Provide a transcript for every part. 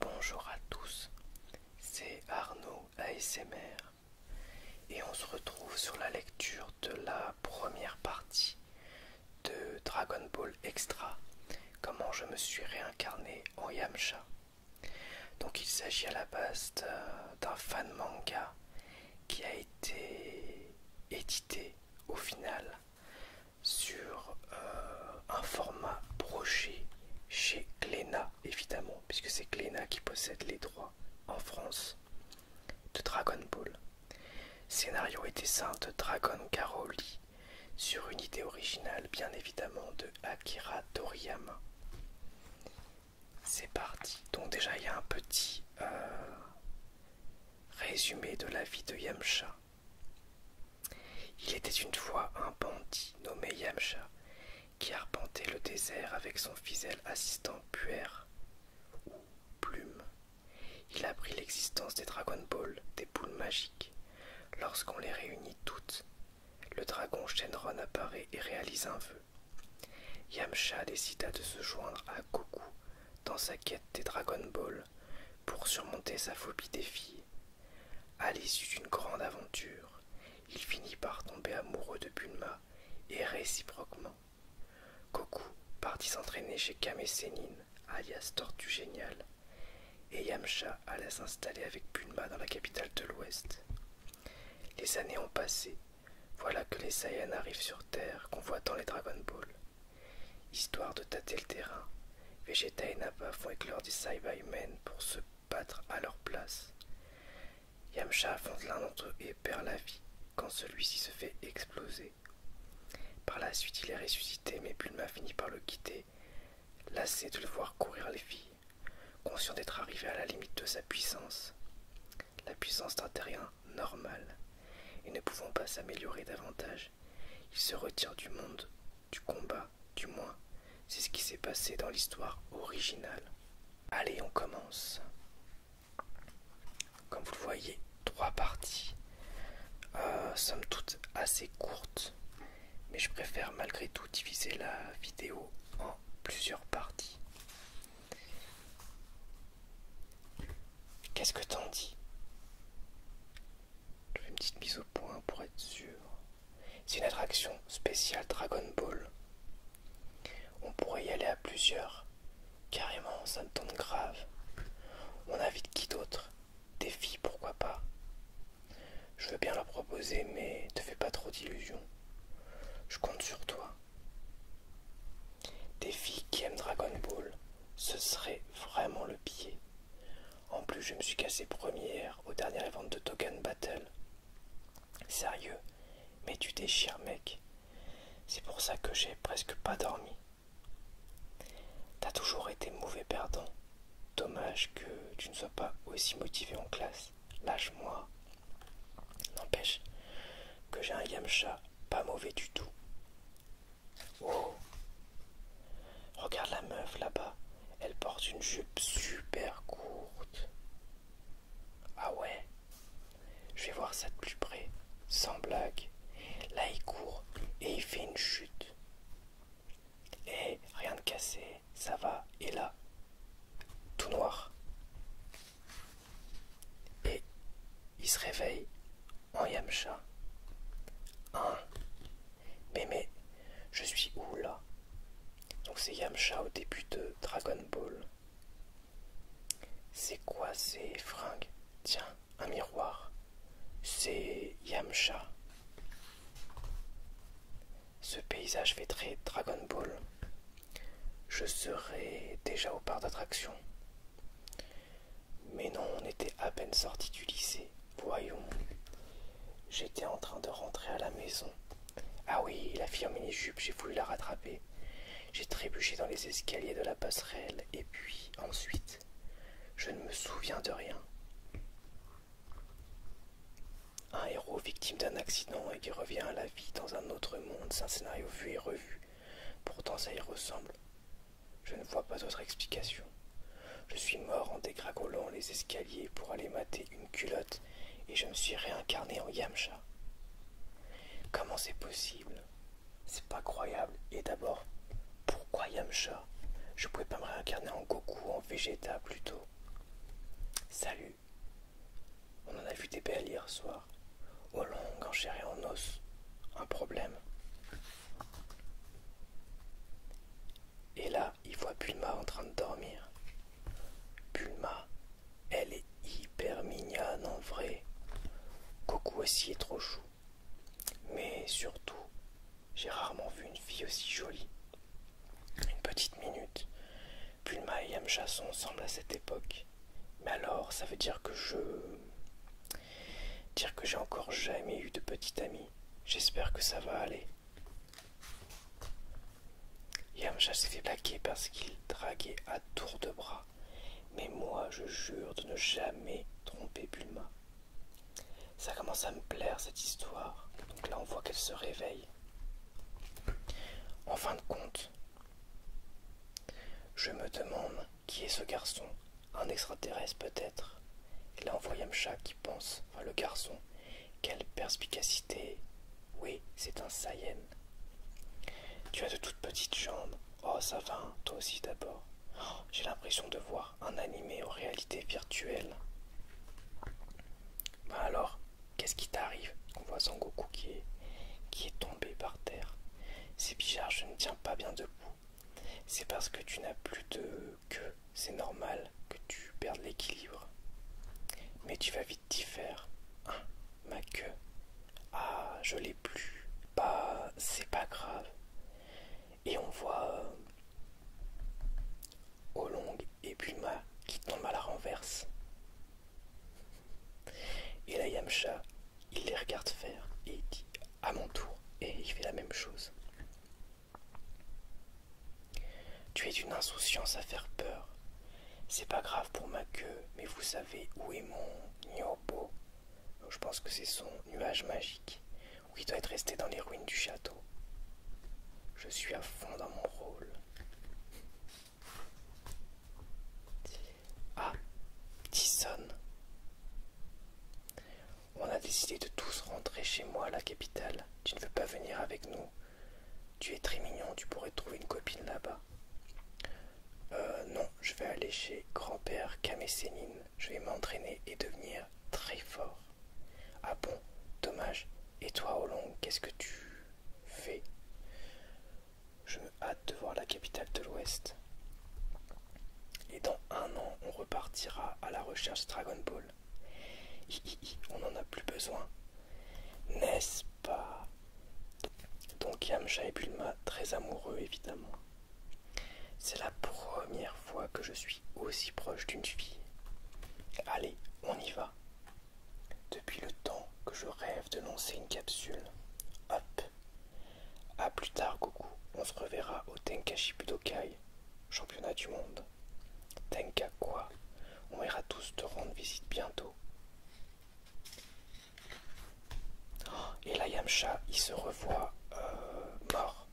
Bonjour à tous, c'est Arnaud ASMR et on se retrouve sur la lecture de la première partie de Dragon Ball Extra, comment je me suis réincarné en Yamcha. Donc il s'agit à la base d'un fan manga qui a été édité au final sur euh, un format broché chez Glénat évidemment puisque c'est Glénat qui possède les droits en France de Dragon Ball. Scénario et dessin de Dragon Caroli sur une idée originale bien évidemment de Akira Toriyama. C'est parti. Donc déjà il y a un petit euh, résumé de la vie de Yamcha. Il était une fois un bandit nommé Yamcha qui arpentait le désert avec son fidèle assistant puère ou Plume. Il apprit l'existence des Dragon Ball, des boules magiques. Lorsqu'on les réunit toutes, le dragon Shenron apparaît et réalise un vœu. Yamcha décida de se joindre à Goku dans sa quête des Dragon Ball pour surmonter sa phobie des filles. À l'issue d'une grande aventure, il finit par tomber amoureux de Bulma et réciproquement. Goku partit s'entraîner chez Kame Sennin alias Tortue Géniale, et Yamcha alla s'installer avec Bulma dans la capitale de l'Ouest. Les années ont passé voilà que les Saiyans arrivent sur Terre, convoitant les Dragon Ball. Histoire de tâter le terrain, Vegeta et Nappa font éclore des Saibai pour se battre à leur place. Yamcha affronte l'un d'entre eux et perd la vie quand celui-ci se fait exploser. Par la suite, il est ressuscité, mais Bulma finit par le quitter, lassé de le voir courir les filles, conscient d'être arrivé à la limite de sa puissance la puissance d'un terrien normal, et ne pouvant pas s'améliorer davantage, il se retire du monde, du combat, du moins, c'est ce qui s'est passé dans l'histoire originale. Allez, on commence. Comme vous le voyez, trois parties, euh, sommes toutes assez courtes, mais je préfère malgré tout diviser la vidéo en plusieurs parties. Qu'est-ce que t'en dis Je fais une petite mise au point pour être sûr. C'est une attraction spéciale Dragon Ball. On pourrait y aller à plusieurs. Carrément, ça me tente grave. On invite qui d'autre Des filles, pourquoi pas Je veux bien la proposer, mais te fais pas trop d'illusions. Je compte sur toi. Des filles qui aiment Dragon Ball, ce serait vraiment le pied. En plus, je me suis cassé première au dernier événement de Token Battle. Sérieux, mais tu déchires, mec. C'est pour ça que j'ai presque pas dormi. T'as toujours été mauvais perdant. Dommage que tu ne sois pas aussi motivé en classe. Lâche-moi. N'empêche que j'ai un Yamcha pas mauvais du tout. Oh Regarde la meuf là-bas, elle porte une jupe super courte. Ah ouais Je vais voir ça de plus près, sans blague. Là il court et il fait une chute. Et eh, rien de cassé, ça va, et là, tout noir. Et il se réveille en Yamcha. Ah, Mais mais, je suis où là Donc c'est Yamcha au début de Dragon Ball. C'est quoi ces fringues Tiens, un miroir. C'est Yamcha. Ce paysage fait très Dragon Ball. Je serais déjà au parc d'attractions. Mais non, on était à peine sortis du lycée. Voyons. J'étais en train de rentrer à la maison. Ah oui, la fille en mini-jupe, j'ai voulu la rattraper. J'ai trébuché dans les escaliers de la passerelle et puis ensuite, je ne me souviens de rien. Un héros victime d'un accident et qui revient à la vie dans un autre monde, c'est un scénario vu et revu. Pourtant ça y ressemble. Je ne vois pas d'autre explication. Je suis mort en dégringolant les escaliers pour aller mater une culotte et je me suis réincarné en Yamcha. Comment c'est possible C'est pas croyable. Et d'abord, pourquoi Yamcha Je pouvais pas me réincarner en Goku, en Vegeta plutôt. Salut on en a vu des belles hier soir, aux long, enchéré en os. Un problème. Et là, il voit Pulma en train de dormir. Pulma, elle est hyper mignonne en vrai. Coco aussi est trop chou. Mais surtout, j'ai rarement vu une fille aussi jolie. Une petite minute, Bulma et Yamcha sont ensemble à cette époque. Mais alors, ça veut dire que je... Dire que j'ai encore jamais eu de petite amie. J'espère que ça va aller. Yamcha s'est fait plaquer parce qu'il draguait à tour de bras. Mais moi, je jure de ne jamais tromper Bulma. Ça commence à me plaire cette histoire. Donc là, on voit qu'elle se réveille. En fin de compte, je me demande qui est ce garçon, un extraterrestre peut-être. Et là on voit Yamcha qui pense, enfin le garçon, quelle perspicacité. Oui, c'est un Saiyan. Tu as de toutes petites jambes. Oh ça va, hein, toi aussi d'abord. Oh, j'ai l'impression de voir un animé en réalité virtuelle. Bah alors, Qu'est-ce qui t'arrive On voit Sangoku qui est, qui est tombé par terre. C'est bizarre, je ne tiens pas bien debout. C'est parce que tu n'as plus de queue. C'est normal que tu perdes l'équilibre. Mais tu vas vite t'y faire. Hein, ma queue. Ah, je l'ai plus. Pas. Bah, c'est pas grave. Et on voit euh, Olong et Bulma qui tombe à la renverse. Et là, Yamcha, il les regarde faire et il dit à mon tour. Et il fait la même chose. Tu es une insouciance à faire peur. C'est pas grave pour ma queue, mais vous savez où est mon Nyobo Je pense que c'est son nuage magique, Ou il doit être resté dans les ruines du château. Je suis à fond dans mon rôle. Ah, Tisson. On a décidé de tous rentrer chez moi à la capitale. Tu ne veux pas venir avec nous Tu es très mignon, tu pourrais trouver une copine là-bas. Euh, non, je vais aller chez grand-père Kamesénine. Je vais m'entraîner et devenir très fort. Ah bon, dommage. Et toi, Olong, qu'est-ce que tu fais je me hâte de voir la capitale de l'Ouest. Et dans un an, on repartira à la recherche Dragon Ball. on n'en a plus besoin. N'est-ce pas Donc Yamcha et Bulma, très amoureux évidemment. C'est la première fois que je suis aussi proche d'une fille. Allez, on y va. Depuis le temps que je rêve de lancer une capsule. Hop. A plus tard, Goku. On se reverra au Tenka Budokai, championnat du monde. Tenka quoi On ira tous te rendre visite bientôt. Oh, et là, Yamcha, il se revoit euh, mort.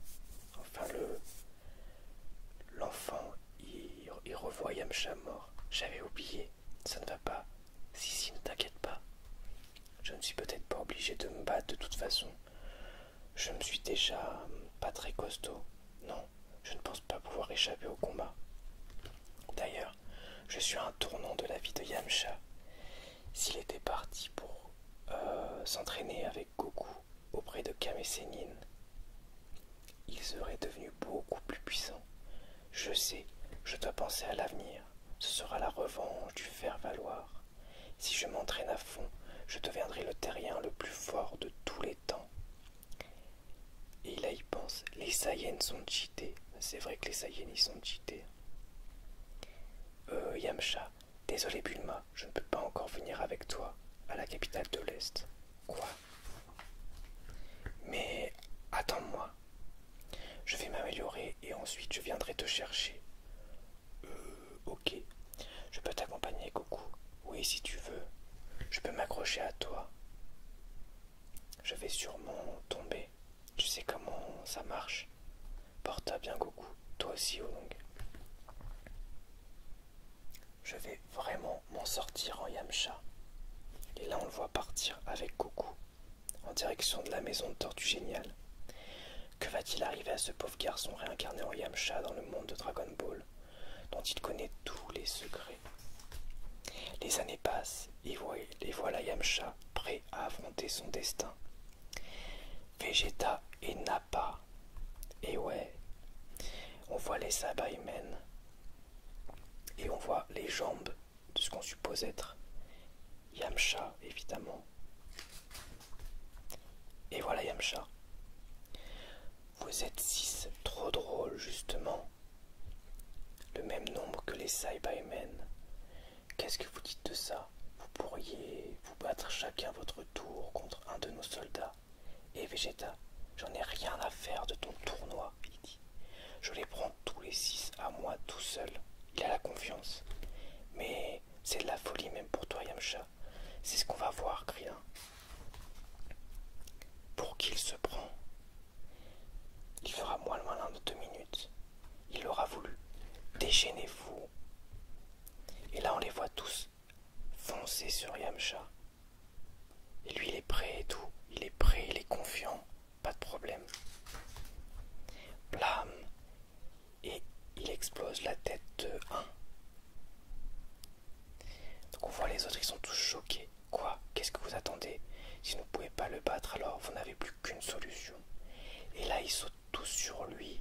Enfin, le l'enfant, il, il revoit Yamcha mort. J'avais oublié ça ne va pas. Si, si, ne t'inquiète pas. Je ne suis peut-être pas obligé de me battre de toute façon. Je me suis déjà hum, pas très costaud. Non, je ne pense pas pouvoir échapper au combat. D'ailleurs, je suis un tournant de la vie de Yamcha. S'il était parti pour euh, s'entraîner avec Goku auprès de Kame Sennin, ils serait devenus beaucoup plus puissants. Je sais, je dois penser à l'avenir. Ce sera la revanche du faire-valoir. Si je m'entraîne à fond, je deviendrai le terrien le plus fort de tous les temps. Et là, il pense les Saiyans sont cheatés. C'est vrai que les Saiyens y sont cheatés. Euh, Yamcha, désolé Bulma, je ne peux pas encore venir avec toi à la capitale de l'Est. Quoi mais attends-moi. Je vais m'améliorer et ensuite je viendrai te chercher. Euh, ok. Je peux t'accompagner, Goku. Oui, si tu veux. Je peux m'accrocher à toi. Je vais sûrement tomber. Tu sais comment ça marche. Porte-toi bien, Goku. Toi aussi, long. Je vais vraiment m'en sortir en Yamcha. Et là, on le voit partir avec Goku, en direction de la maison de Tortue Géniale. Que va-t-il arriver à ce pauvre garçon réincarné en Yamcha dans le monde de Dragon Ball, dont il connaît tous les secrets Les années passent, et voilà Yamcha prêt à affronter son destin. Vegeta et Nappa. Et ouais, on voit les humains et on voit les jambes de ce qu'on suppose être Yamcha, évidemment. Et voilà Yamcha. Vous êtes six, trop drôle justement. Le même nombre que les Saibamen. Qu'est-ce que vous dites de ça Vous pourriez vous battre chacun votre tour contre un de nos soldats. Et Vegeta, j'en ai rien à faire de ton tournoi, il dit. Je les prends tous les six à moi tout seul. Il a la confiance. Mais c'est de la folie même pour toi, Yamcha. C'est ce qu'on va voir, rien Pour qu'il se prend Il fera moins loin malin de deux minutes. Il aura voulu. Déchaînez-vous. Et là, on les voit tous foncer sur Yamcha. Et lui, il est prêt et tout. Il est prêt, il est confiant. Pas de problème. Blam Et il explose la tête de 1. Donc on voit les autres, ils sont tous choqués. Quoi Qu'est-ce que vous attendez Si vous ne pouvez pas le battre, alors vous n'avez plus qu'une solution. Et là, ils sautent tous sur lui.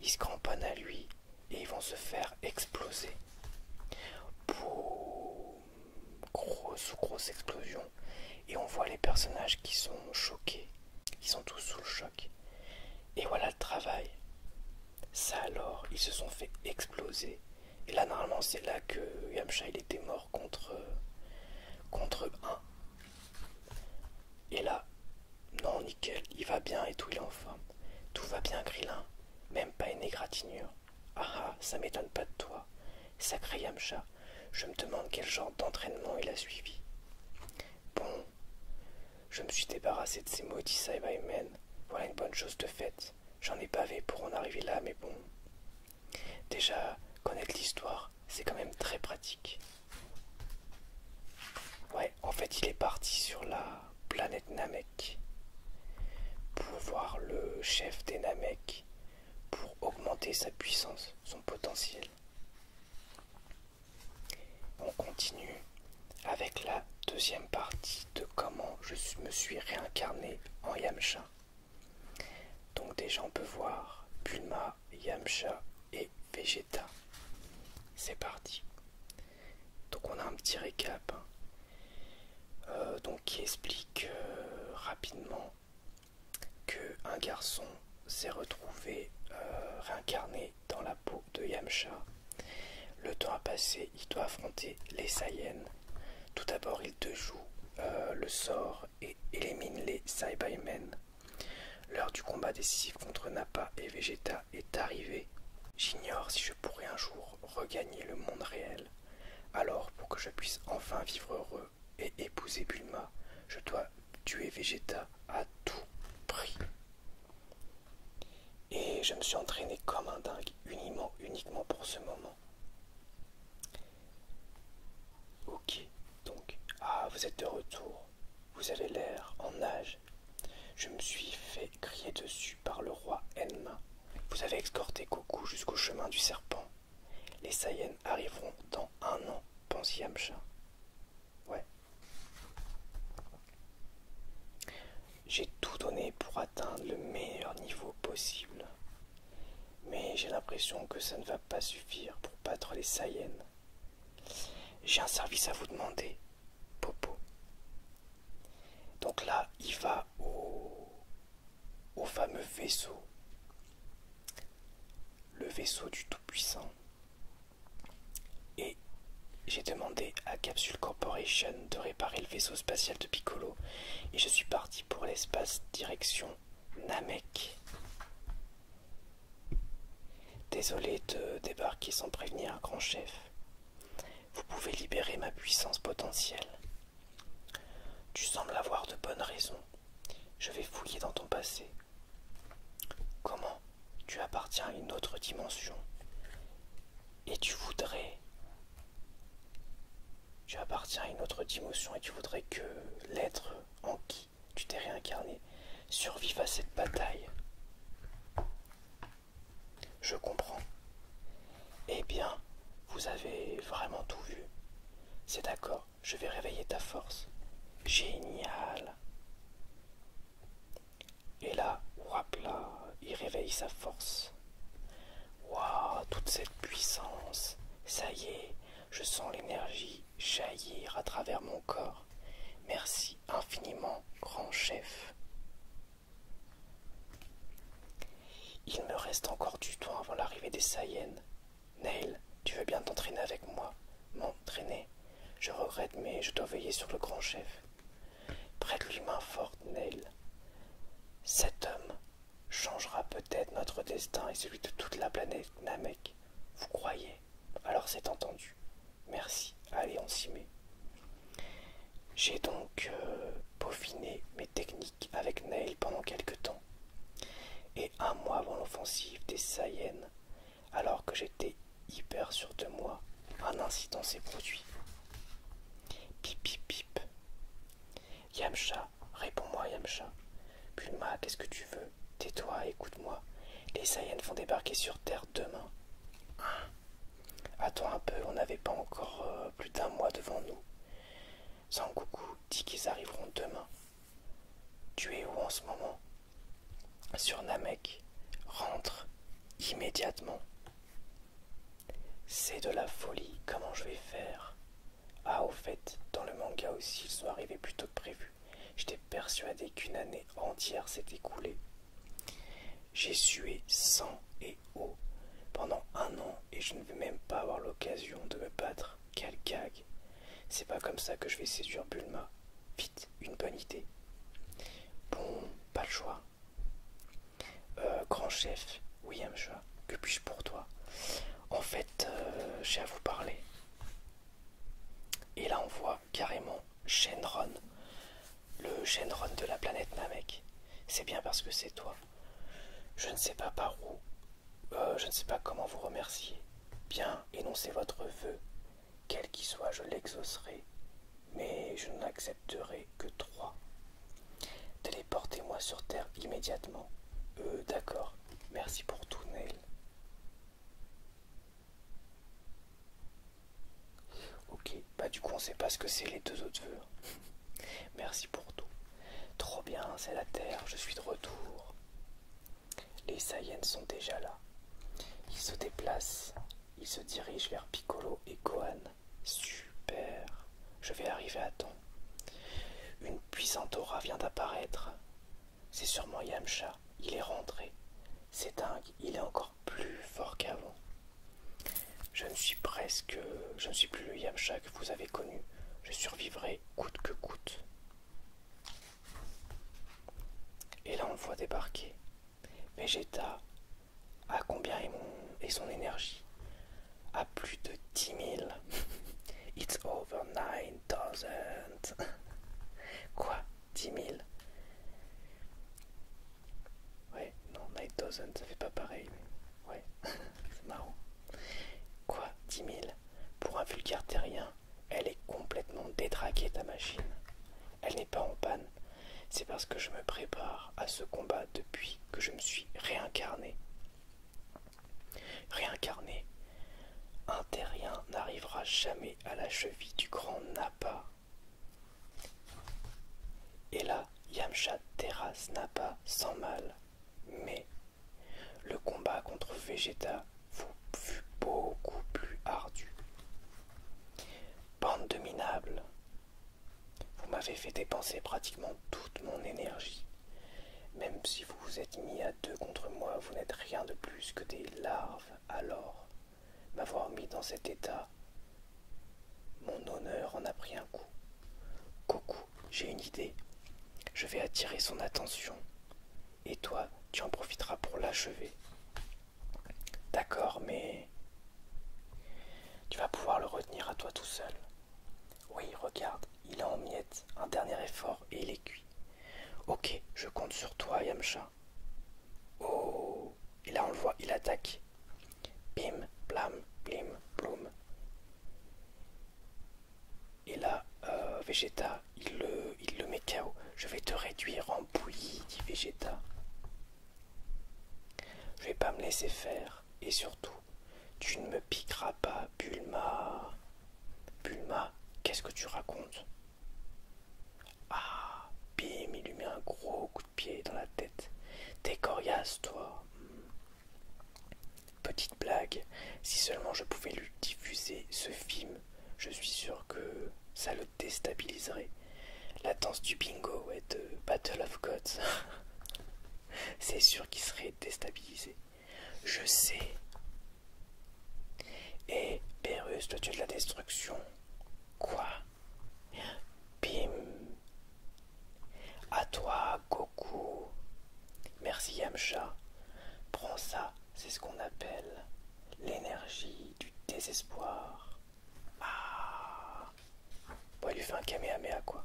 Ils se cramponnent à lui. Et ils vont se faire exploser. Boum grosse grosse explosion et on voit les personnages qui sont choqués, ils sont tous sous le choc. Et voilà le travail. Ça alors, ils se sont fait exploser. Et là normalement c'est là que Yamcha il était mort contre contre un. Et là, non nickel, il va bien et tout, il est en forme. Tout va bien Grillin, même pas une égratignure. Ah, ah ça m'étonne pas de toi. Sacré Yamcha, je me demande quel genre d'entraînement il a suivi. Bon, je me suis débarrassé de ces maudits Saibai-men. Voilà une bonne chose de faite. J'en ai pavé pour en arriver là, mais bon. Déjà, connaître l'histoire, c'est quand même très pratique. Ouais, en fait, il est parti sur la planète Namek pour voir le chef des Namek pour augmenter sa puissance, son potentiel. On continue avec la deuxième partie de comment je me suis réincarné en Yamcha. Donc déjà on peut voir Bulma, Yamcha et Vegeta. C'est parti. Donc on a un petit récap. Hein. Euh, donc qui explique euh, rapidement rapidement qu'un garçon s'est retrouvé euh, réincarné dans la peau de Yamcha. Le temps a passé, il doit affronter les Saiyans. Tout d'abord, il te joue le sort et élimine les Saibaimen. L'heure du combat décisif contre Nappa et Vegeta est arrivée. J'ignore si je pourrais un jour regagner le monde réel. Alors, pour que je puisse enfin vivre heureux et épouser Bulma, je dois tuer Vegeta à tout prix. Et je me suis entraîné comme un dingue, uniquement, uniquement pour ce moment. Ok, donc, ah, vous êtes de retour. Vous avez l'air en nage. Je me suis fait crier dessus par le roi Enma. Vous avez escorté Goku jusqu'au chemin du serpent. Les Saiyans arriveront dans un an, pense Yamcha. Ouais. J'ai tout donné pour atteindre le meilleur niveau possible. Mais j'ai l'impression que ça ne va pas suffire pour battre les Saiyans. J'ai un service à vous demander, Popo. Donc là, il va au au fameux vaisseau, le vaisseau du Tout-Puissant. Et j'ai demandé à Capsule Corporation de réparer le vaisseau spatial de Piccolo et je suis parti pour l'espace direction Namek. Désolé de débarquer sans prévenir un grand chef. Vous pouvez libérer ma puissance potentielle. Tu sembles avoir de bonnes raisons. Je vais fouiller dans ton passé. Comment Tu appartiens à une autre dimension. Et tu voudrais... Tu appartiens à une autre dimension et tu voudrais que l'être en qui tu t'es réincarné survive à cette bataille. Je comprends. Eh bien, vous avez vraiment tout vu. C'est d'accord, je vais réveiller ta force. Génial. Et là, là, il réveille sa force. Waouh, toute cette puissance. Ça y est, je sens l'énergie jaillir à travers mon corps. Merci infiniment, grand chef. Il me reste encore du temps avant l'arrivée des Saiyans. »« Neil, tu veux bien t'entraîner avec moi M'entraîner Je regrette, mais je dois veiller sur le grand chef. Prête-lui main forte, Neil. Cet homme changera peut-être notre destin et celui de toute la planète Namek. Vous croyez Alors c'est entendu. Merci. Allez, on s'y met. J'ai donc euh, peaufiné mes techniques avec Neil pendant quelque temps, et un mois avant l'offensive des Saiyens alors que j'étais hyper sûr de moi, un incident s'est produit. Pip pip pip. Yamcha, réponds-moi Yamcha. Puma, qu'est-ce que tu veux Tais-toi, écoute-moi. Les Saiyans vont débarquer sur Terre demain. Hein? Attends un peu, on n'avait pas encore euh, plus d'un mois devant nous. Sangoku dit qu'ils arriveront demain. Tu es où en ce moment Sur Namek. Rentre immédiatement. C'est de la folie, comment je vais faire Ah, au fait, dans le manga aussi, ils sont arrivés plus tôt que prévu. J'étais persuadé qu'une année entière s'est écoulée. J'ai sué sans et pendant un an et je ne vais même pas avoir l'occasion de me battre. Quel gag C'est pas comme ça que je vais séduire Bulma. Vite, une bonne idée. Bon, pas le choix. Euh, grand chef, William Choix. que puis-je pour toi En fait, euh, j'ai à vous parler. Et là, on voit carrément Shenron, le Shenron de la planète Namek. C'est bien parce que c'est toi. Je ne sais pas par où, euh, je ne sais pas comment vous remercier. Bien, énoncez votre vœu. Quel qu'il soit, je l'exaucerai, mais je n'accepterai que trois. Téléportez-moi sur Terre immédiatement. Euh, d'accord. Merci pour tout, Neil. Ok, bah du coup on sait pas ce que c'est les deux autres vœux. Merci pour tout. Trop bien, c'est la Terre, je suis de retour. Les Saiyans sont déjà là. Ils se déplacent, ils se dirigent vers Piccolo et Gohan. Super, je vais arriver à temps. Une puissante aura vient d'apparaître. C'est sûrement Yamcha, il est rentré. C'est dingue, il est encore plus fort qu'avant. Je ne suis presque. Je ne suis plus le Yamcha que vous avez connu. Je survivrai coûte que coûte. Et là, on le voit débarquer. Vegeta, à combien est, son énergie À plus de 10 000. It's over 9000. Quoi 10 000 Ouais, non, 9000, ça fait pas pareil. Ouais, c'est marrant. Quoi 10 000 Pour un vulgaire terrien, elle est complètement détraquée ta machine. Elle n'est pas en panne. C'est parce que je me prépare à ce combat depuis que je me suis réincarné. Réincarné Un terrien n'arrivera jamais à la cheville du grand Napa. Et là, Yamcha terrasse Napa sans mal. Mais le combat contre Vegeta fut beaucoup plus ardu. Bande de vous m'avez fait dépenser pratiquement toute mon énergie. Même si vous vous êtes mis à deux contre moi, vous n'êtes rien de plus que des larves. Alors, m'avoir mis dans cet état, mon honneur en a pris un coup. Coucou j'ai une idée. Je vais attirer son attention. Et toi, tu en profiteras pour l'achever. D'accord, mais... Tu vas pouvoir le retenir à toi tout seul. Oui, regarde, il est en miettes, un dernier effort et il est cuit. Ok, je compte sur toi, Yamcha. Oh Et là, on le voit, il attaque. Bim, blam, blim, bloum. Et là, euh, Vegeta, il le, il le met KO. Je vais te réduire en bouillie, dit Vegeta. Je vais pas me laisser faire. Et surtout, tu ne me piqueras pas, Bulma. Bulma, qu'est-ce que tu racontes Ah, bim, il lui met un gros coup de pied dans la tête. T'es coriace, toi. Hmm. Petite blague, si seulement je pouvais lui diffuser ce film, je suis sûr que ça le déstabiliserait. La danse du bingo et de Battle of Gods, c'est sûr qu'il serait déstabilisé. Je sais. Et Berus, le dieu de la destruction. Quoi Bim a toi, Goku. Merci, Yamcha. Prends ça, c'est ce qu'on appelle l'énergie du désespoir. Ah Bon, il lui fait un kamehameha, quoi.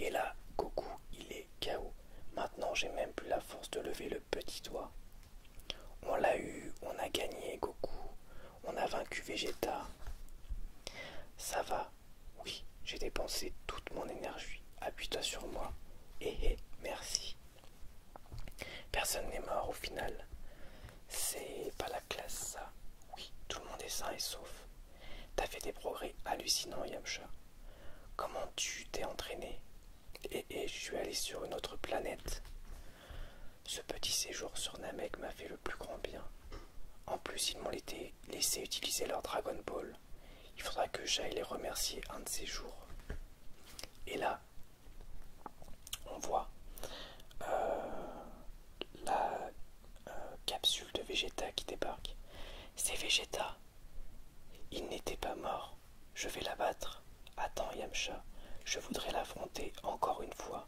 Et là, Goku, il est KO. Maintenant, j'ai même plus la force de lever le petit doigt. On l'a eu, on a gagné, Goku. On a vaincu Vegeta. Ça va, oui, j'ai dépensé toute mon énergie. Appuie-toi sur moi. Eh eh, merci. Personne n'est mort au final. C'est pas la classe, ça. Oui, tout le monde est sain et sauf. T'as fait des progrès hallucinants, Yamcha. Comment tu t'es entraîné Et eh, eh, je suis allé sur une autre planète. Ce petit séjour sur Namek m'a fait le plus grand bien. En plus, ils m'ont laissé utiliser leur Dragon Ball. Il faudra que j'aille les remercier un de ces jours. Et là, on voit euh, la euh, capsule de Vegeta qui débarque. C'est Vegeta. Il n'était pas mort. Je vais l'abattre. Attends, Yamcha. Je voudrais l'affronter encore une fois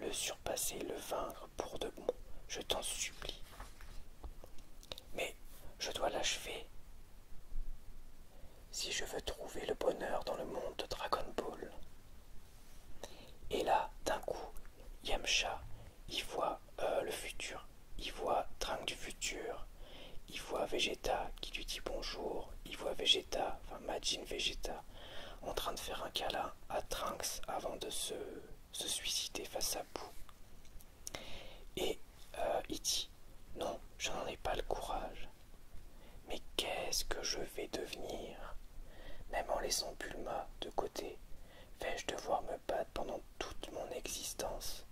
le surpasser, le vaincre pour de bon, je t'en supplie. Mais je dois l'achever. Si je veux trouver le bonheur dans le monde de Dragon Ball. Et là, d'un coup, Yamcha, il voit euh, le futur, il voit Trang du futur, il voit Vegeta qui lui dit bonjour, il voit Vegeta, enfin Majin Vegeta, en train de faire un câlin à Trinx avant de se, suicider face à pou Et euh, il dit Non, je n'en ai pas le courage. Mais qu'est-ce que je vais devenir Même en laissant Pulma de côté, vais-je devoir me battre pendant toute mon existence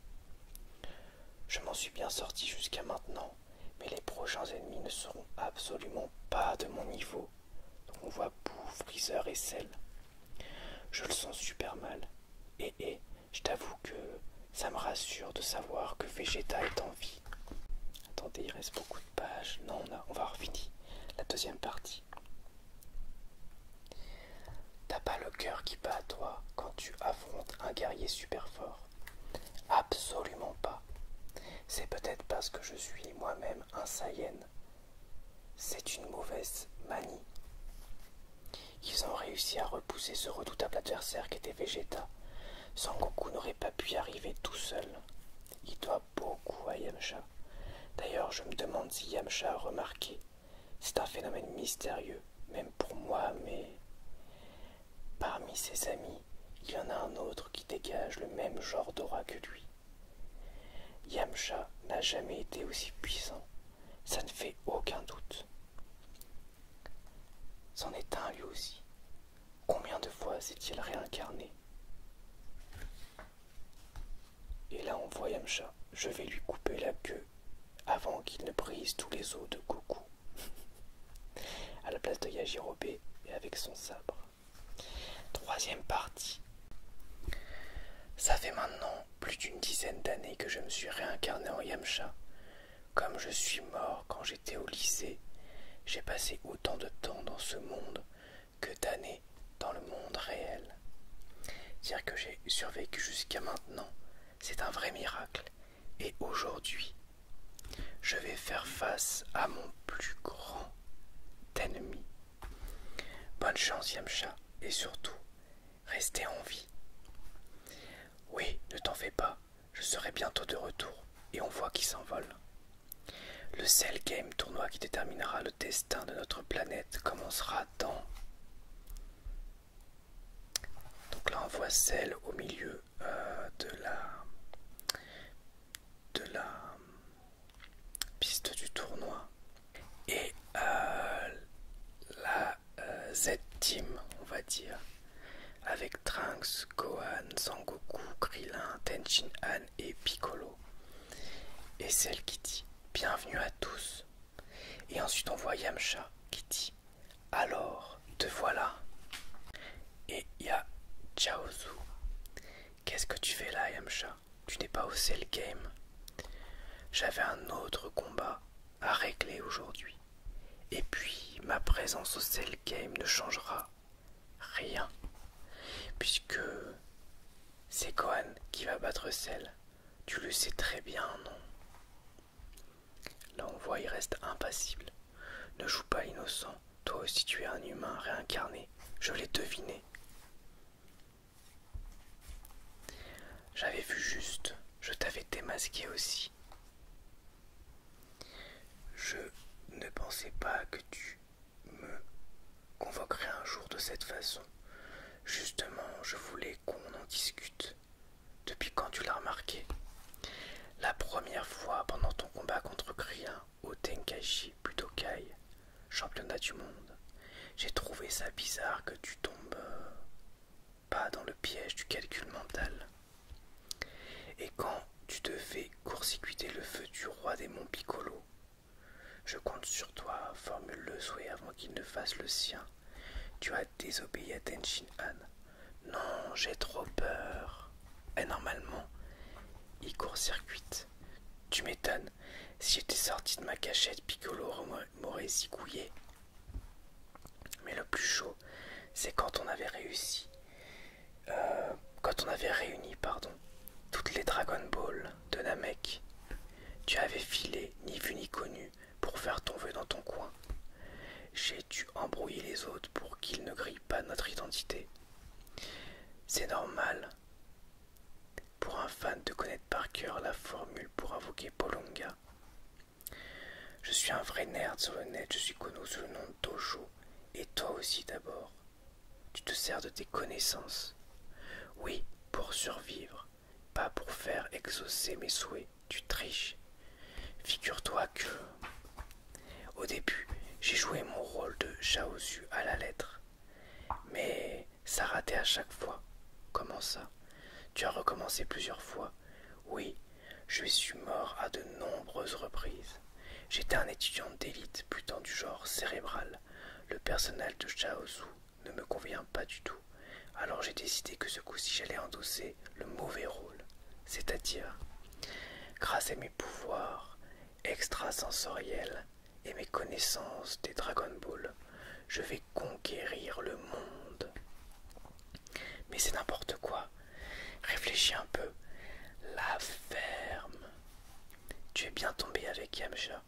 Je m'en suis bien sorti jusqu'à maintenant, mais les prochains ennemis ne seront absolument pas de mon niveau on voit boue, freezer et sel. Je le sens super mal. Et, je t'avoue que ça me rassure de savoir que Vegeta est en vie. Attendez, il reste beaucoup de pages. Non, on, a, on va La deuxième partie. T'as pas le cœur qui bat à toi quand tu affrontes un guerrier super fort. Absolument pas. C'est peut-être parce que je suis moi-même un Saiyan. C'est une mauvaise manie. Ils ont réussi à repousser ce redoutable adversaire qui était Vegeta. Goku n'aurait pas pu y arriver tout seul. Il doit beaucoup à Yamcha. D'ailleurs, je me demande si Yamcha a remarqué. C'est un phénomène mystérieux, même pour moi, mais... Parmi ses amis, il y en a un autre qui dégage le même genre d'aura que lui. Yamcha n'a jamais été aussi puissant, ça ne fait aucun doute. C'en est un lui aussi. Combien de fois s'est-il réincarné Et là on voit Yamcha, je vais lui couper la queue avant qu'il ne brise tous les os de Goku. à la place de Yajirobe et avec son sabre. Troisième partie. Ça fait maintenant plus d'une dizaine d'années que je me suis réincarné en Yamcha. Comme je suis mort quand j'étais au lycée, j'ai passé autant de temps dans ce monde que d'années dans le monde réel. Dire que j'ai survécu jusqu'à maintenant, c'est un vrai miracle. Et aujourd'hui, je vais faire face à mon plus grand ennemi. Bonne chance, Yamcha, et surtout, restez en vie. Oui, ne t'en fais pas, je serai bientôt de retour, et on voit qui s'envole. Le Cell Game tournoi qui déterminera le destin de notre planète commencera dans. Donc là, on voit Cell au milieu euh, de la de la piste du tournoi et euh, la euh, Z-Team, on va dire, avec Trunks, Gohan, Sangoku, Krillin, Tenchin Han et Piccolo. Et celle qui dit Bienvenue à tous. Et ensuite on voit Yamcha qui dit Alors, te voilà. Et y'a y Qu'est-ce que tu fais là, Yamcha Tu n'es pas au Cell Game. J'avais un autre combat à régler aujourd'hui. Et puis, ma présence au Cell Game ne changera rien. Puisque c'est Gohan qui va battre Cell. Tu le sais très bien, non Là, on voit, il reste impassible. Ne joue pas innocent toi aussi tu es un humain réincarné, je l'ai deviné. J'avais vu juste, je t'avais démasqué aussi. Je ne pensais pas que tu me convoquerais un jour de cette façon. Justement, je voulais qu'on en discute. Depuis quand tu l'as remarqué La première fois pendant ton combat contre Krien, au plutôt Kai, championnat du monde, j'ai trouvé ça bizarre que tu tombes euh, pas dans le piège du calcul mental. Et quand tu devais fais court le feu du roi des monts Piccolo, je compte sur toi, formule le souhait avant qu'il ne fasse le sien. Tu as désobéi à Tenshin Han. Non, j'ai trop peur. Et eh, normalement, il court-circuite. Tu m'étonnes, si j'étais sorti de ma cachette, Piccolo m'aurait zigouillé. Mais le plus chaud, c'est quand on avait réussi. Euh, quand on avait réuni, pardon, toutes les Dragon Ball de Namek. Tu avais filé, ni vu ni connu, pour faire ton vœu dans ton coin. J'ai dû embrouiller les autres pour qu'ils ne grillent pas notre identité. C'est normal pour un fan de connaître par cœur la formule pour invoquer Polonga. Je suis un vrai nerd sur le je suis connu sous le nom de Tojo, et toi aussi d'abord. Tu te sers de tes connaissances. Oui, pour survivre, pas pour faire exaucer mes souhaits, tu triches. Figure-toi que au début, j'ai joué mon rôle de Chaosu à la lettre. Mais ça ratait à chaque fois. Comment ça Tu as recommencé plusieurs fois. Oui, je suis mort à de nombreuses reprises. J'étais un étudiant d'élite plutôt du genre cérébral. Le personnel de Chaosu ne me convient pas du tout. Alors j'ai décidé que ce coup-ci j'allais endosser le mauvais rôle. C'est-à-dire, grâce à mes pouvoirs extrasensoriel et mes connaissances des Dragon Ball, je vais conquérir le monde. Mais c'est n'importe quoi. Réfléchis un peu. La ferme. Tu es bien tombé avec Yamcha.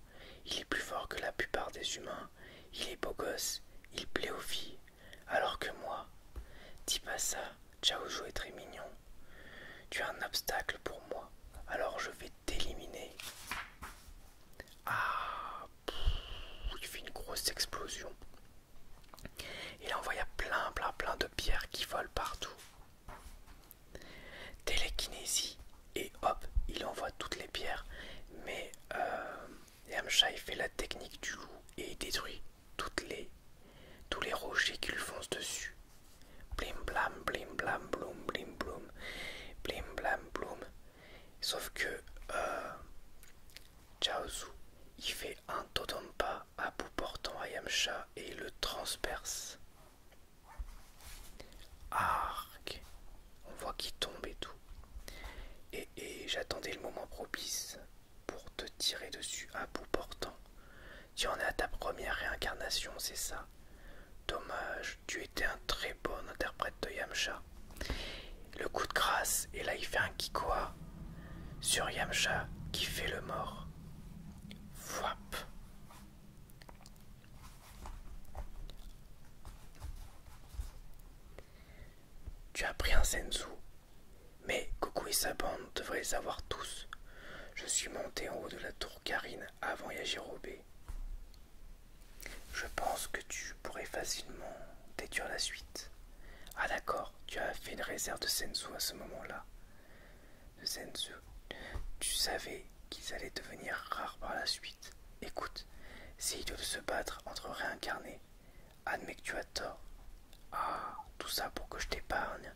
Il est plus fort que la plupart des humains. Il est beau gosse. Il plaît aux filles. Alors que moi. Dis pas ça. est très mignon. Tu as un obstacle pour moi, alors je vais t'éliminer. Ah, il fait une grosse explosion. Il envoya plein, plein, plein de pierres qui volent partout. Télékinésie, et hop, il envoie toutes les pierres. Mais euh, Yamcha, fait la technique du loup et il détruit toutes les tous les rochers qui lui foncent dessus. Blim blam, blim blam, bloum, blim blum blim blam, bloum. Sauf que euh, Chaozu, il fait un pas à bout portant à Yamcha et il le transperce. Arc, on voit qu'il tombe et tout. et j'attendais le moment propice pour te tirer dessus à bout portant. Tu en es à ta première réincarnation, c'est ça Dommage, tu étais un très bon interprète de Yamcha. Le coup de grâce, et là il fait un kikoa sur Yamcha qui fait le mort. Wap. Tu as pris un Sensu. mais coucou et sa bande on devrait les avoir tous. Je suis monté en haut de la tour Karine avant Yagirobé. Je pense que tu pourrais facilement déduire la suite. Ah d'accord, tu as fait une réserve de Senzu à ce moment-là. De Senzu. Tu savais qu'ils allaient devenir rares par la suite. Écoute, c'est idiot de se battre entre réincarnés. Admets que tu as tort. Ah, tout ça pour que je t'épargne.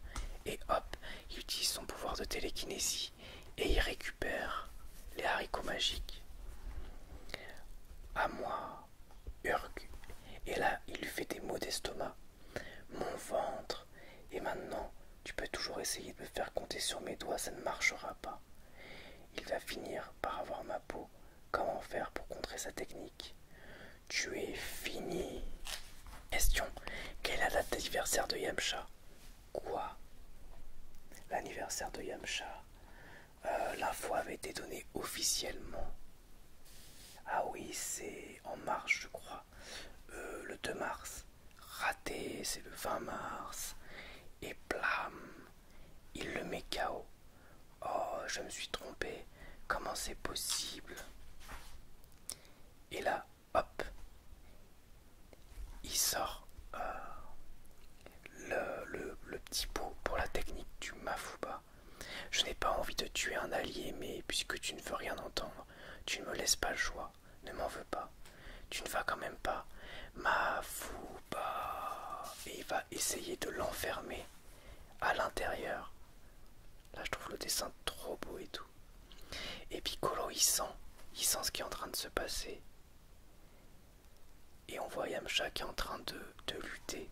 Et hop, il utilise son pouvoir de télékinésie et il récupère les haricots magiques. À moi, Urg. Et là, il lui fait des maux d'estomac. Mon ventre. Et maintenant, tu peux toujours essayer de me faire compter sur mes doigts, ça ne marchera pas. Il va finir par avoir ma peau. Comment faire pour contrer sa technique tu es fini. Question. Quelle est la date d'anniversaire de Yamcha Quoi L'anniversaire de Yamcha. Euh, la foi avait été donnée officiellement. Ah oui, c'est en mars, je crois. Euh, le 2 mars. Raté, c'est le 20 mars. Et blam, il le met KO. Oh, je me suis trompé. Comment c'est possible Et là, hop, il sort euh, le, le petit pot pour la technique du Mafuba. Je n'ai pas envie de tuer un allié, mais puisque tu ne veux rien entendre, tu ne me laisses pas le choix, ne m'en veux pas. Tu ne vas quand même pas. Mafuba. Et il va essayer de l'enfermer à l'intérieur. Là, je trouve le dessin trop beau et tout. Et Piccolo, il sent, il sent ce qui est en train de se passer. Et on voit Yamcha qui est en train de, lutter.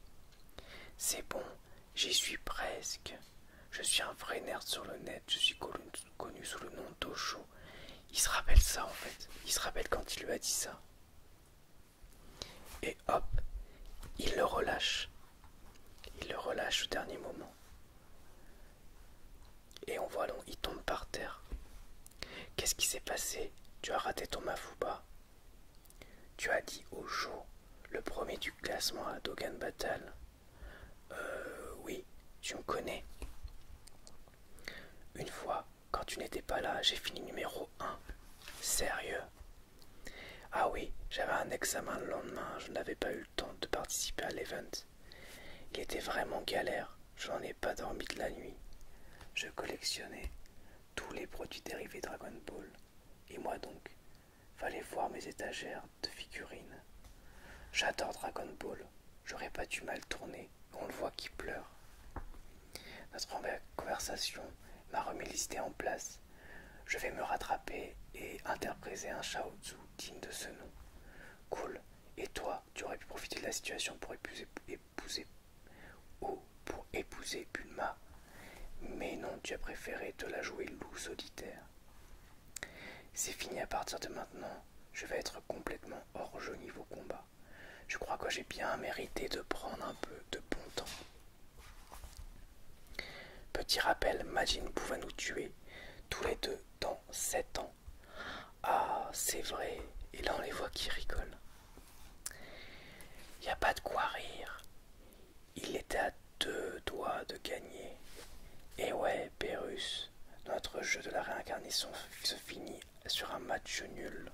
C'est bon, j'y suis presque. Je suis un vrai nerd sur le net, je suis connu, sous le nom d'Osho. Il se rappelle ça en fait, il se rappelle quand il lui a dit ça. Et hop, il le relâche. Il le relâche au dernier moment. Et on voit long, il tombe par terre. Qu'est-ce qui s'est passé Tu as raté ton mafouba Tu as dit au jour le premier du classement à Dogan Battle. Euh, oui, tu me connais. Une fois, quand tu n'étais pas là, j'ai fini numéro 1. Sérieux Ah oui, j'avais un examen le lendemain, je n'avais pas eu de participer à l'event. Il était vraiment galère, je n'en ai pas dormi de la nuit. Je collectionnais tous les produits dérivés Dragon Ball. Et moi donc, fallait voir mes étagères de figurines. J'adore Dragon Ball, j'aurais pas dû mal tourner, on le voit qui pleure. Notre conversation m'a remis l'idée en place. Je vais me rattraper et interpréter un Shao Tzu digne de ce nom. Cool. Et toi, tu aurais pu profiter de la situation pour épouser, épouser, oh, pour épouser Bulma. Mais non, tu as préféré te la jouer loup solitaire. C'est fini à partir de maintenant. Je vais être complètement hors jeu niveau combat. Je crois que j'ai bien mérité de prendre un peu de bon temps. Petit rappel, Majin pouvait nous tuer tous les deux dans 7 ans. Ah, c'est vrai. Et là, on les voit qui rigolent. Il n'y a pas de quoi rire. Il était à deux doigts de gagner. Et ouais, Pérus, notre jeu de la réincarnation se finit sur un match nul.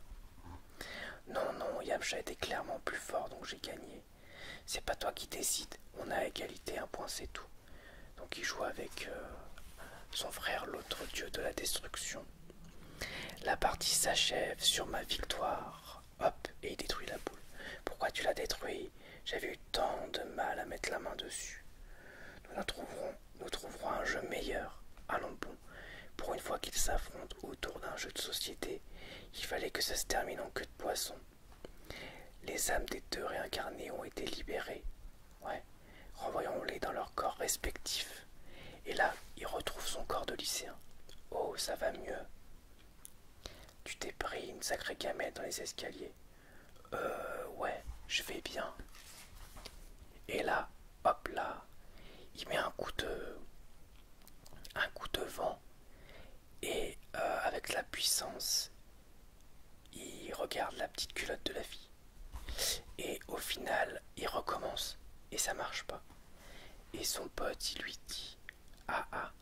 Non, non, Yamcha était clairement plus fort, donc j'ai gagné. C'est pas toi qui décide. On a égalité, un point, c'est tout. Donc il joue avec euh, son frère, l'autre dieu de la destruction. La partie s'achève sur ma victoire. Hop, et il détruit la boule. Pourquoi tu l'as détruit J'avais eu tant de mal à mettre la main dessus. Nous, la trouverons, nous trouverons un jeu meilleur. Allons bon. Pour une fois qu'ils s'affrontent autour d'un jeu de société, il fallait que ça se termine en queue de poisson. Les âmes des deux réincarnés ont été libérées. Ouais. revoyons les dans leurs corps respectifs. Et là, il retrouve son corps de lycéen. Oh, ça va mieux. Tu t'es pris une sacrée gamelle dans les escaliers. Euh, ouais, je vais bien. Et là, hop là, il met un coup de. un coup de vent et euh, avec la puissance, il regarde la petite culotte de la fille. Et au final, il recommence et ça marche pas. Et son pote, il lui dit Ah ah,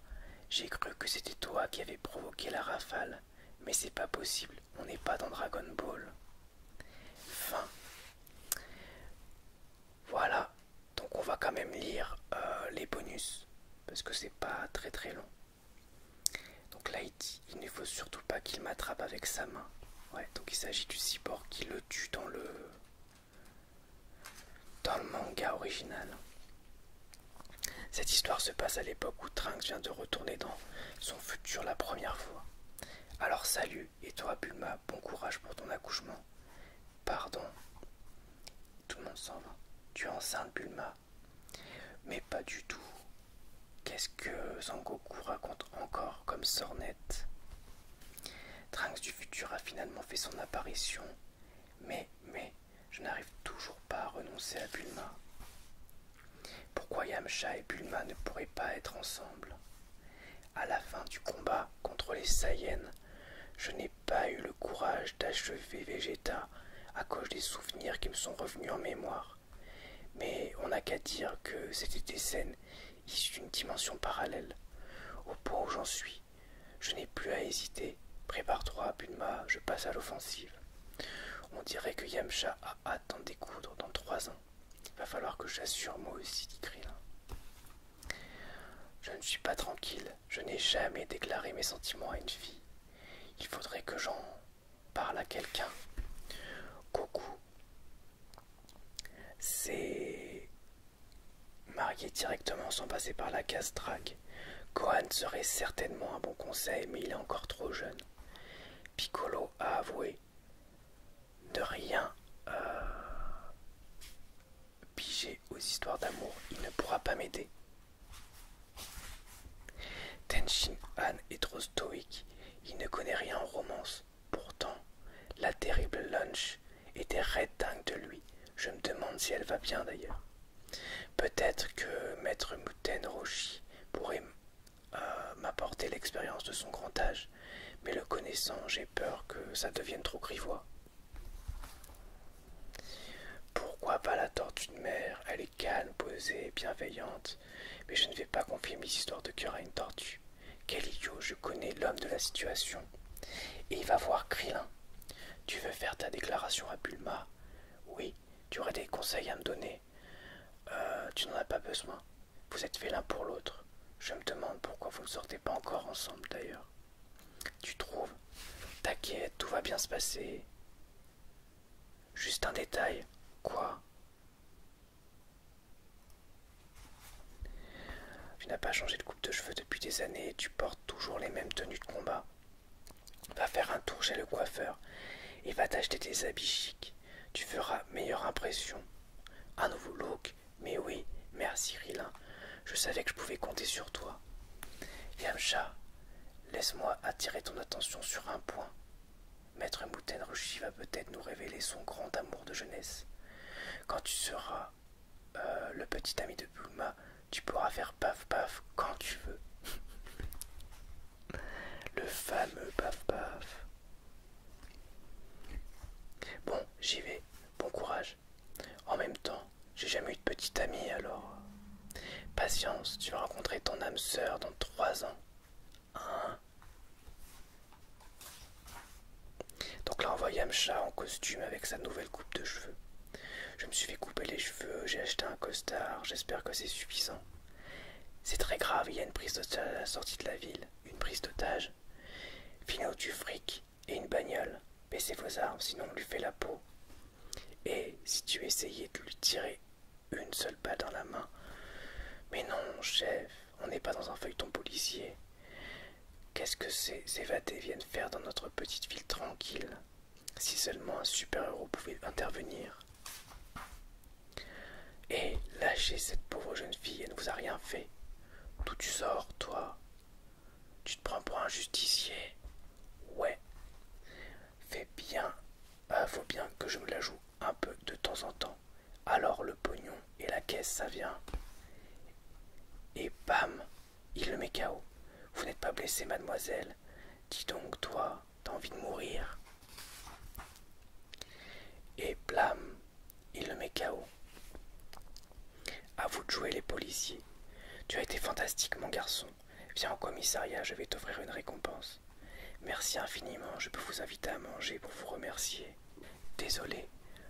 j'ai cru que c'était toi qui avais provoqué la rafale, mais c'est pas possible, on n'est pas dans Dragon Ball. Fin. Voilà, donc on va quand même lire euh, les bonus parce que c'est pas très très long. Donc là, il dit ne faut surtout pas qu'il m'attrape avec sa main. Ouais, donc il s'agit du cyborg qui le tue dans le dans le manga original. Cette histoire se passe à l'époque où Trunks vient de retourner dans son futur la première fois. Alors salut, et toi Bulma, bon courage pour ton accouchement. Pardon. Tout le monde s'en va. Tu es enceinte Bulma. Mais pas du tout. Qu'est-ce que Zangoku raconte encore comme sornette Trunks du futur a finalement fait son apparition, mais, mais, je n'arrive toujours pas à renoncer à Bulma. Pourquoi Yamcha et Bulma ne pourraient pas être ensemble À la fin du combat contre les Saiyens, je n'ai pas eu le courage d'achever Vegeta à cause des souvenirs qui me sont revenus en mémoire. Mais on n'a qu'à dire que c'était des scènes issues d'une dimension parallèle. Au point où j'en suis, je n'ai plus à hésiter. Prépare-toi, Bulma, je passe à l'offensive. On dirait que Yamcha a hâte d'en découdre dans trois ans. Il va falloir que j'assure moi aussi, dit Je ne suis pas tranquille, je n'ai jamais déclaré mes sentiments à une fille. Il faudrait que j'en parle à quelqu'un. Coucou. C'est marié directement sans passer par la case drague. serait certainement un bon conseil, mais il est encore trop jeune. Piccolo a avoué de rien à euh, piger aux histoires d'amour. Il ne pourra pas m'aider. Tenshin Han est trop stoïque, il ne connaît rien en romance. Pourtant, la terrible Lunch était raide de lui. Je me demande si elle va bien d'ailleurs. Peut-être que Maître Muten Roshi pourrait euh, m'apporter l'expérience de son grand âge, mais le connaissant, j'ai peur que ça devienne trop grivois. Pourquoi pas la tortue de mer Elle est calme, posée, bienveillante. Mais je ne vais pas confier mes histoires de cœur à une tortue. Quel idiot, je connais l'homme de la situation. Et il va voir Krilin. Tu veux faire ta déclaration à Bulma Oui, tu aurais des conseils à me donner. Euh, tu n'en as pas besoin. Vous êtes fait l'un pour l'autre. Je me demande pourquoi vous ne sortez pas encore ensemble d'ailleurs. Tu trouves T'inquiète, tout va bien se passer. Juste un détail. Quoi Tu n'as pas changé de coupe de cheveux depuis des années tu portes toujours les mêmes tenues de combat. Va faire un tour chez le coiffeur et va t'acheter des habits chics. Tu feras meilleure impression. Un nouveau look. Mais oui, merci Rilin. Je savais que je pouvais compter sur toi. Yamcha, Laisse-moi attirer ton attention sur un point. Maître Moutenruchi va peut-être nous révéler son grand amour de jeunesse. Quand tu seras euh, le petit ami de Bulma, tu pourras faire paf paf quand tu veux. le fameux paf paf. Bon, j'y vais. Bon courage. En même temps, j'ai jamais eu de petite amie alors. Patience, tu vas rencontrer ton âme sœur dans trois ans. Hein Donc là on voit Yamcha en costume avec sa nouvelle coupe de cheveux. Je me suis fait couper les cheveux, j'ai acheté un costard, j'espère que c'est suffisant. C'est très grave, il y a une prise d'otage à la sortie de la ville, une prise d'otage. Finot du fric et une bagnole. Baissez vos armes, sinon on lui fait la peau. Et si tu essayais de lui tirer une seule balle dans la main. Mais non, chef, on n'est pas dans un feuilleton policier. Qu'est-ce que ces évadés viennent faire dans notre petite ville tranquille Si seulement un super-héros pouvait intervenir. Et lâchez cette pauvre jeune fille, elle ne vous a rien fait. D'où tu sors, toi Tu te prends pour un justicier Ouais. Fais bien. Euh, faut bien que je me la joue un peu de temps en temps. Alors le pognon et la caisse, ça vient. Et bam, il le met KO. Vous n'êtes pas blessé, mademoiselle. Dis donc, toi, t'as envie de mourir. Et blâme, il le met KO. À vous de jouer les policiers. Tu as été fantastique, mon garçon. Viens au commissariat, je vais t'offrir une récompense. Merci infiniment, je peux vous inviter à manger pour vous remercier. Désolé,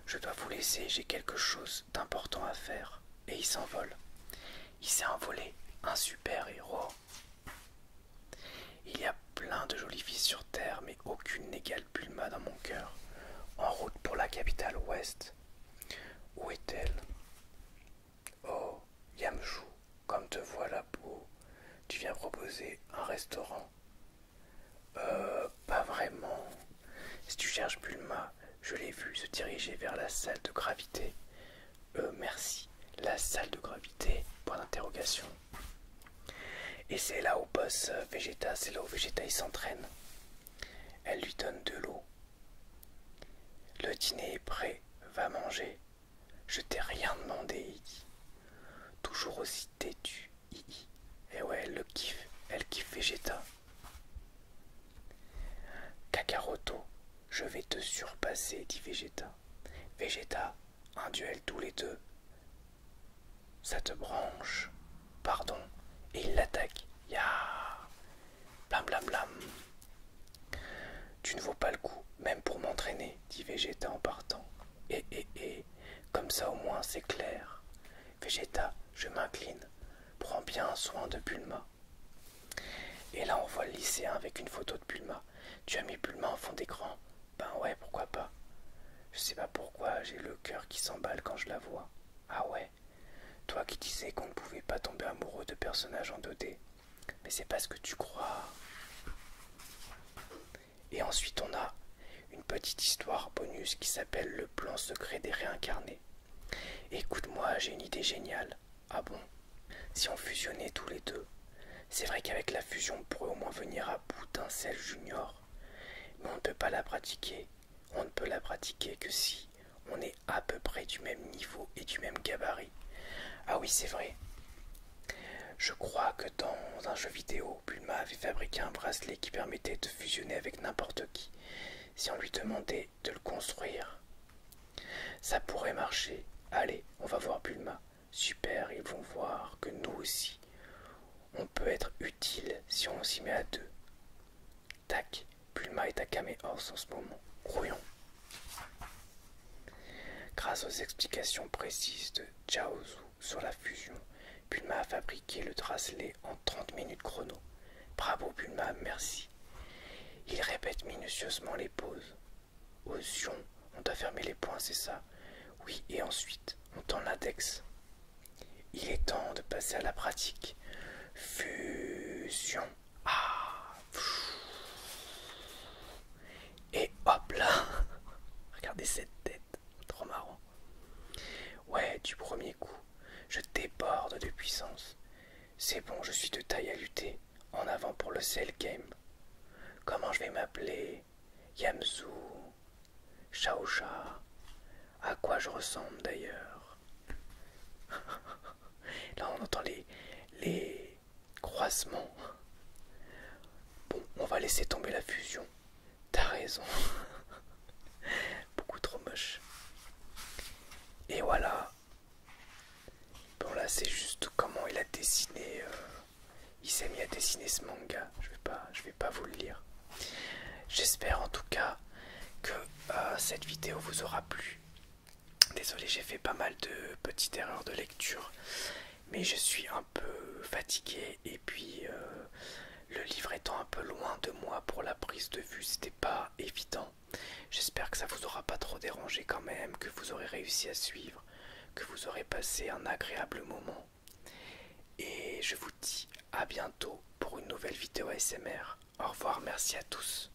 je dois vous laisser, j'ai quelque chose d'important à faire. Et il s'envole. Il s'est envolé, un super héros. Il y a plein de jolies filles sur Terre, mais aucune n'égale Bulma dans mon cœur. En route pour la capitale ouest. Où est-elle Oh, Yamchou, comme te la peau. tu viens proposer un restaurant Euh, pas vraiment. Si tu cherches Bulma, je l'ai vu se diriger vers la salle de gravité. Euh, merci, la salle de gravité Point d'interrogation. Et c'est là où boss euh, Vegeta, c'est là où Vegeta il s'entraîne. Elle lui donne de l'eau le dîner est prêt, va manger. Je t'ai rien demandé, Iggy. Toujours aussi têtu, Et ouais, elle le kiffe, elle kiffe Vegeta. Kakaroto, je vais te surpasser, dit Vegeta. Vegeta, un duel tous les deux. Ça te branche. Pardon. Et il l'attaque. Blam blam blam. Tu ne vaux pas le coup, même pour m'entraîner, dit Vegeta en partant. Eh eh eh, comme ça au moins c'est clair. Vegeta, je m'incline. Prends bien soin de Bulma. Et là on voit le lycéen avec une photo de Bulma. Tu as mis Bulma en fond d'écran Ben ouais, pourquoi pas. Je sais pas pourquoi, j'ai le cœur qui s'emballe quand je la vois. Ah ouais Toi qui disais qu'on ne pouvait pas tomber amoureux de personnages en mais c'est pas ce que tu crois. Et ensuite, on a une petite histoire bonus qui s'appelle Le plan secret des réincarnés. Écoute-moi, j'ai une idée géniale. Ah bon Si on fusionnait tous les deux C'est vrai qu'avec la fusion, on pourrait au moins venir à bout d'un sel junior. Mais on ne peut pas la pratiquer. On ne peut la pratiquer que si on est à peu près du même niveau et du même gabarit. Ah oui, c'est vrai. Je crois que dans un jeu vidéo, Bulma avait fabriqué un bracelet qui permettait de fusionner avec n'importe qui, si on lui demandait de le construire. Ça pourrait marcher. Allez, on va voir Bulma. Super, ils vont voir que nous aussi, on peut être utile si on s'y met à deux. Tac, Pulma est à Kamehors en ce moment. croyons Grâce aux explications précises de Chaozu sur la fusion, Pulma a fabriqué le tracelet en 30 minutes chrono. Bravo Pulma, merci. Il répète minutieusement les pauses. Aux on doit fermé les points, c'est ça Oui, et ensuite, on tend l'index. Il est temps de passer à la pratique. Fusion. Ah. Et hop là Regardez cette tête, trop marrant. Ouais, du premier coup, je déborde de puissance. C'est bon, je suis de taille à lutter. En avant pour le Cell Game. Comment je vais m'appeler Yamzu Sha À quoi je ressemble d'ailleurs Là, on entend les, les croisements. Bon, on va laisser tomber la fusion. T'as raison. Beaucoup trop moche. Et voilà. Bon là c'est juste comment il a dessiné. Euh, il s'est mis à dessiner ce manga. Je vais pas, vais pas vous le lire. J'espère en tout cas que euh, cette vidéo vous aura plu. Désolé, j'ai fait pas mal de petites erreurs de lecture, mais je suis un peu fatigué et puis euh, le livre étant un peu loin de moi pour la prise de vue, c'était pas évident. J'espère que ça vous aura pas trop dérangé quand même, que vous aurez réussi à suivre, que vous aurez passé un agréable moment. Et je vous dis à bientôt pour une nouvelle vidéo ASMR. Au revoir, merci à tous.